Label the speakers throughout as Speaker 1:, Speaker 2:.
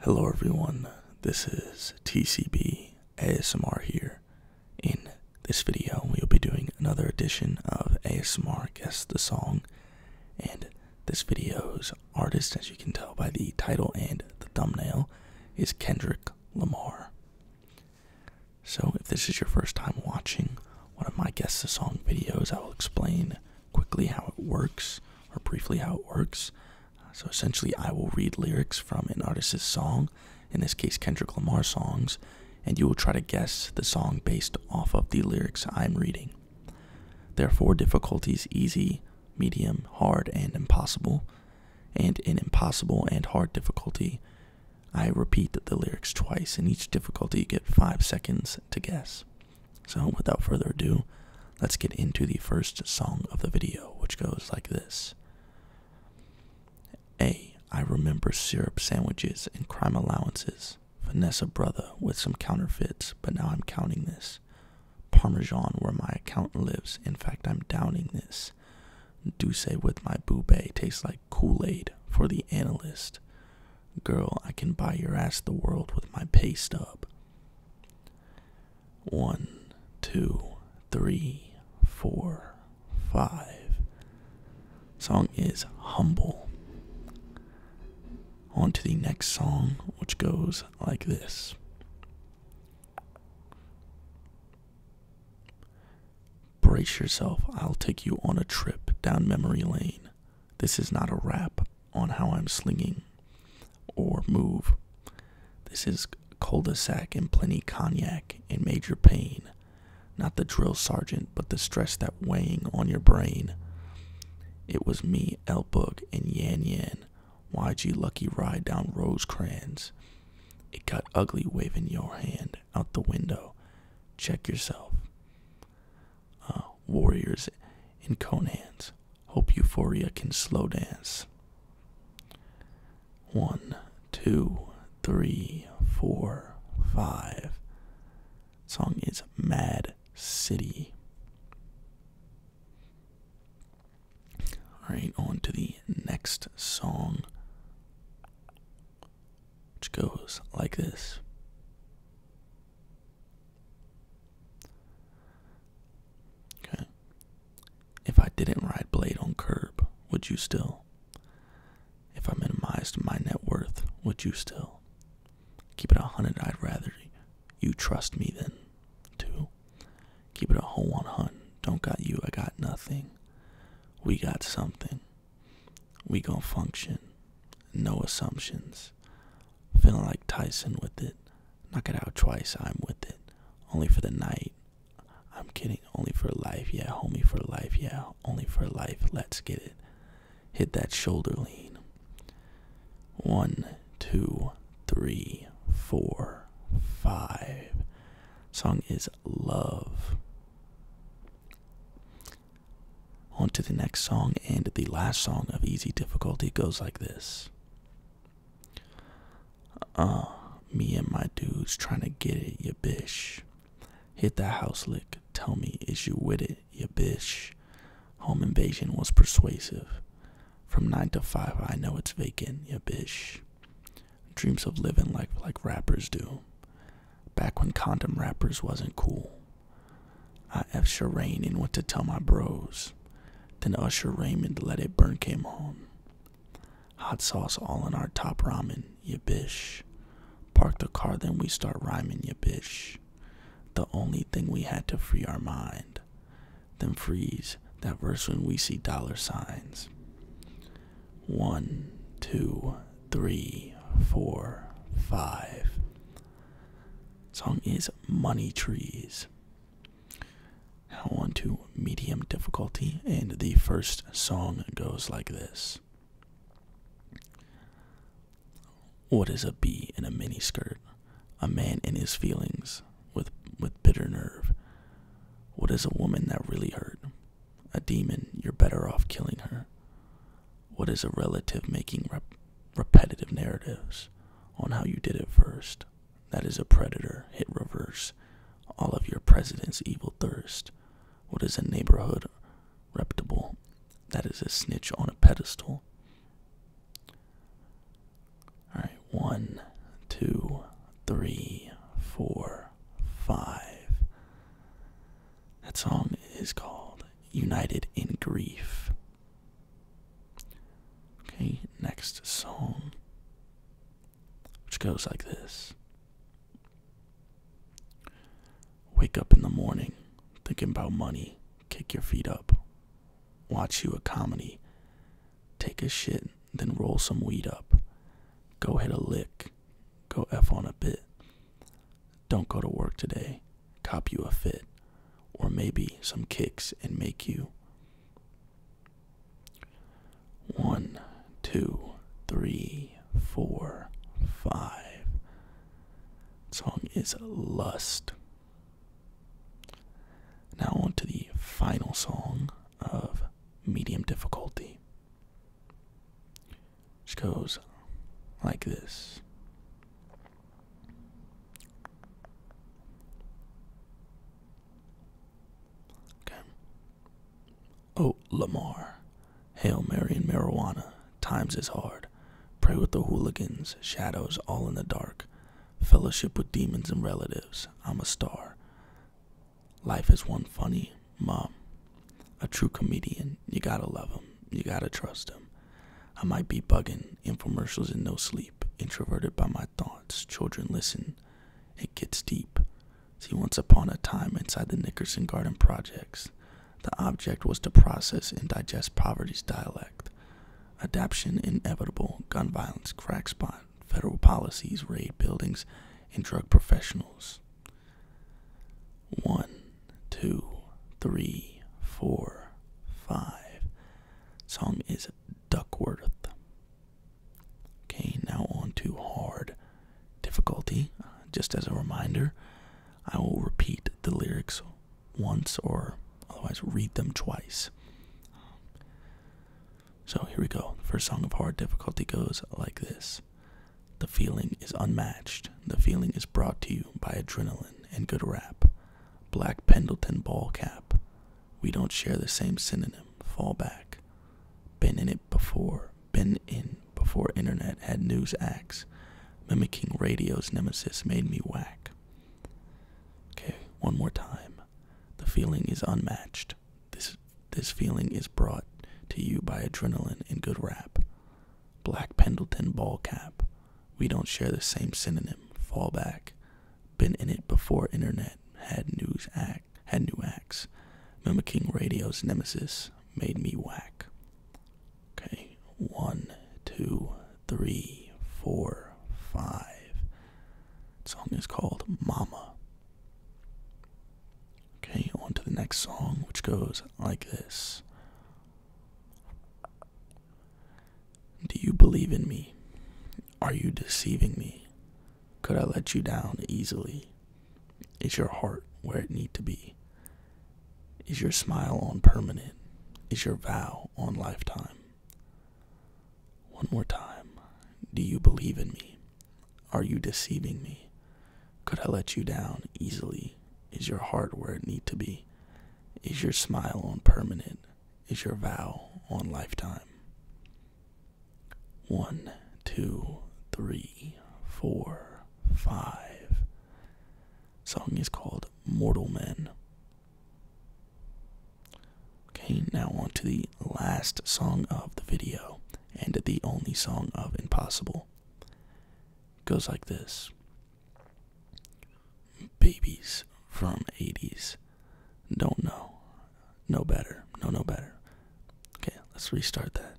Speaker 1: Hello everyone, this is TCB ASMR here. In this video, we will be doing another edition of ASMR Guess the Song, and this video's artist, as you can tell by the title and the thumbnail, is Kendrick Lamar. So, if this is your first time watching one of my Guess the Song videos, I will explain quickly how it works, or briefly how it works so essentially, I will read lyrics from an artist's song, in this case, Kendrick Lamar songs, and you will try to guess the song based off of the lyrics I'm reading. There are four difficulties easy, medium, hard, and impossible. And in impossible and hard difficulty, I repeat the lyrics twice. In each difficulty, you get five seconds to guess. So, without further ado, let's get into the first song of the video, which goes like this A. I remember syrup sandwiches and crime allowances. Vanessa Brother with some counterfeits, but now I'm counting this. Parmesan where my accountant lives. In fact, I'm downing this. Douce with my boubet tastes like Kool-Aid for the analyst. Girl, I can buy your ass the world with my pay stub. One, two, three, four, five. Song is humble. On to the next song, which goes like this. Brace yourself, I'll take you on a trip down memory lane. This is not a rap on how I'm slinging or move. This is cul-de-sac and plenty cognac and major pain. Not the drill sergeant, but the stress that weighing on your brain. It was me, El Boog, and Yan Yan. YG Lucky ride down Rosecrans. It got ugly waving your hand out the window. Check yourself. Oh warriors in conans. Hope euphoria can slow dance. One, two, three, four, five. Song is Mad City. Alright, on to the next song, which goes like this. Okay. If I didn't ride Blade on Curb, would you still? If I minimized my net worth, would you still? Keep it a hundred, I'd rather you trust me than to. Keep it a whole one Don't got you, I got nothing. We got something we gonna function. No assumptions. Feeling like Tyson with it. Knock it out twice, I'm with it. Only for the night. I'm kidding. Only for life, yeah. Homie for life, yeah. Only for life. Let's get it. Hit that shoulder lean. One, two, three, four, five. Song is Love. On to the next song, and the last song of easy difficulty goes like this Uh, me and my dudes trying to get it, ya bitch. Hit that house lick, tell me, is you with it, ya bitch? Home invasion was persuasive. From 9 to 5, I know it's vacant, ya bitch. Dreams of living like like rappers do. Back when condom wrappers wasn't cool. I I F Shireen and went to tell my bros. Then Usher Raymond Let It Burn came home. Hot sauce all in our top ramen, ya bish. Park the car, then we start rhyming, ya bish. The only thing we had to free our mind. Then freeze that verse when we see dollar signs. One, two, three, four, five. Song is Money Trees. I want to medium difficulty, and the first song goes like this. What is a bee in a miniskirt? A man in his feelings with with bitter nerve. What is a woman that really hurt? A demon, you're better off killing her. What is a relative making repetitive narratives on how you did it first? That is a predator, hit reverse. All of your president's evil thirst. What is a neighborhood reputable? That is a snitch on a pedestal. Alright, one, two, three, four, five. That song is called United in Grief. Okay, next song, which goes like this Wake up in the morning, thinking about money, kick your feet up, watch you a comedy, take a shit, then roll some weed up, go hit a lick, Go F on a bit. Don't go to work today. Cop you a fit. Or maybe some kicks and make you. One, two, three, four, five. Song is Lust. Now on to the final song of medium difficulty. Just goes like this. Okay. Oh, Lamar. Hail Mary and marijuana. Times is hard. Pray with the hooligans. Shadows all in the dark. Fellowship with demons and relatives. I'm a star. Life is one funny mom. A true comedian. You gotta love him. You gotta trust him. I might be bugging, infomercials in no sleep. Introverted by my thoughts. Children listen. It gets deep. See, once upon a time inside the Nickerson Garden Projects, the object was to process and digest poverty's dialect. Adaption inevitable, gun violence, crack spot, federal policies raid buildings and drug professionals. One, two, three, four, five. Song is Duckworth. Okay, now on to hard difficulty. Uh, just as a reminder, I will repeat the lyrics once or otherwise read them twice. So here we go. The first song of hard difficulty goes like this The feeling is unmatched. The feeling is brought to you by adrenaline and good rap. Black Pendleton ball cap. We don't share the same synonym. Fall back. Been in it before. Been in before internet had news acts. Mimicking radio's nemesis made me whack. Okay, one more time. The feeling is unmatched. This this feeling is brought to you by adrenaline and good rap. Black Pendleton ball cap. We don't share the same synonym. Fall back. Been in it before internet. Had news act. Had new acts. Mimicking radio's nemesis made me whack. Okay. One, two, three, four, five. song is called Mama Okay, on to the next song, which goes like this Do you believe in me? Are you deceiving me? Could I let you down easily? Is your heart where it need to be? Is your smile on permanent? Is your vow on lifetime? One more time. Do you believe in me? Are you deceiving me? Could I let you down easily? Is your heart where it need to be? Is your smile on permanent? Is your vow on lifetime? One, two, three, four, five. Song is called Mortal Men. Okay, now on to the last song of the video and the only song of Impossible. goes like this Babies from 80s. Don't know. No better. No, no better. Okay, let's restart that.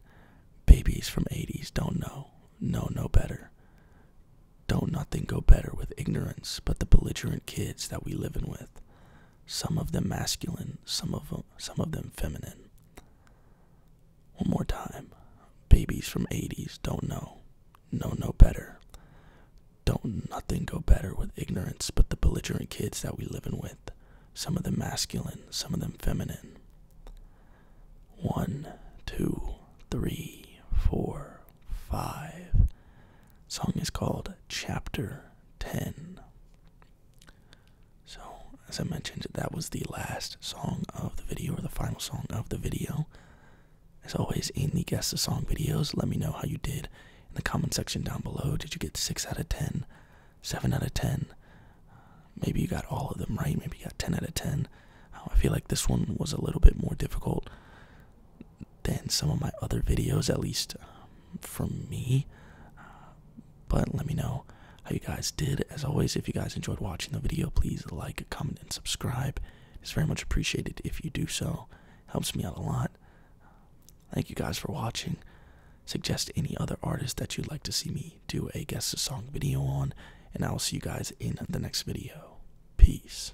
Speaker 1: Babies from 80s. Don't know. No, no better. Don't nothing go better with ignorance but the belligerent kids that we livin' with some of them masculine, some of them, some of them feminine. One more time. Babies from 80s don't know. Know no better. Don't nothing go better with ignorance but the belligerent kids that we livin' with. Some of them masculine, some of them feminine. One, two, three, four, five, song is called Chapter 10. So, as I mentioned, that was the last song of the video, or the final song of the video. As always, in the Guess the Song videos, let me know how you did in the comment section down below. Did you get 6 out of ten, seven out of 10? maybe you got all of them right, maybe you got 10 out of 10. Uh, I feel like this one was a little bit more difficult than some of my other videos, at least um, from me. Uh, but let me know how you guys did. As always, if you guys enjoyed watching the video, please like, comment, and subscribe. It's very much appreciated if you do so. Helps me out a lot. Thank you guys for watching. Suggest any other artist that you'd like to see me do a guest song video on, and I will see you guys in the next video. Peace.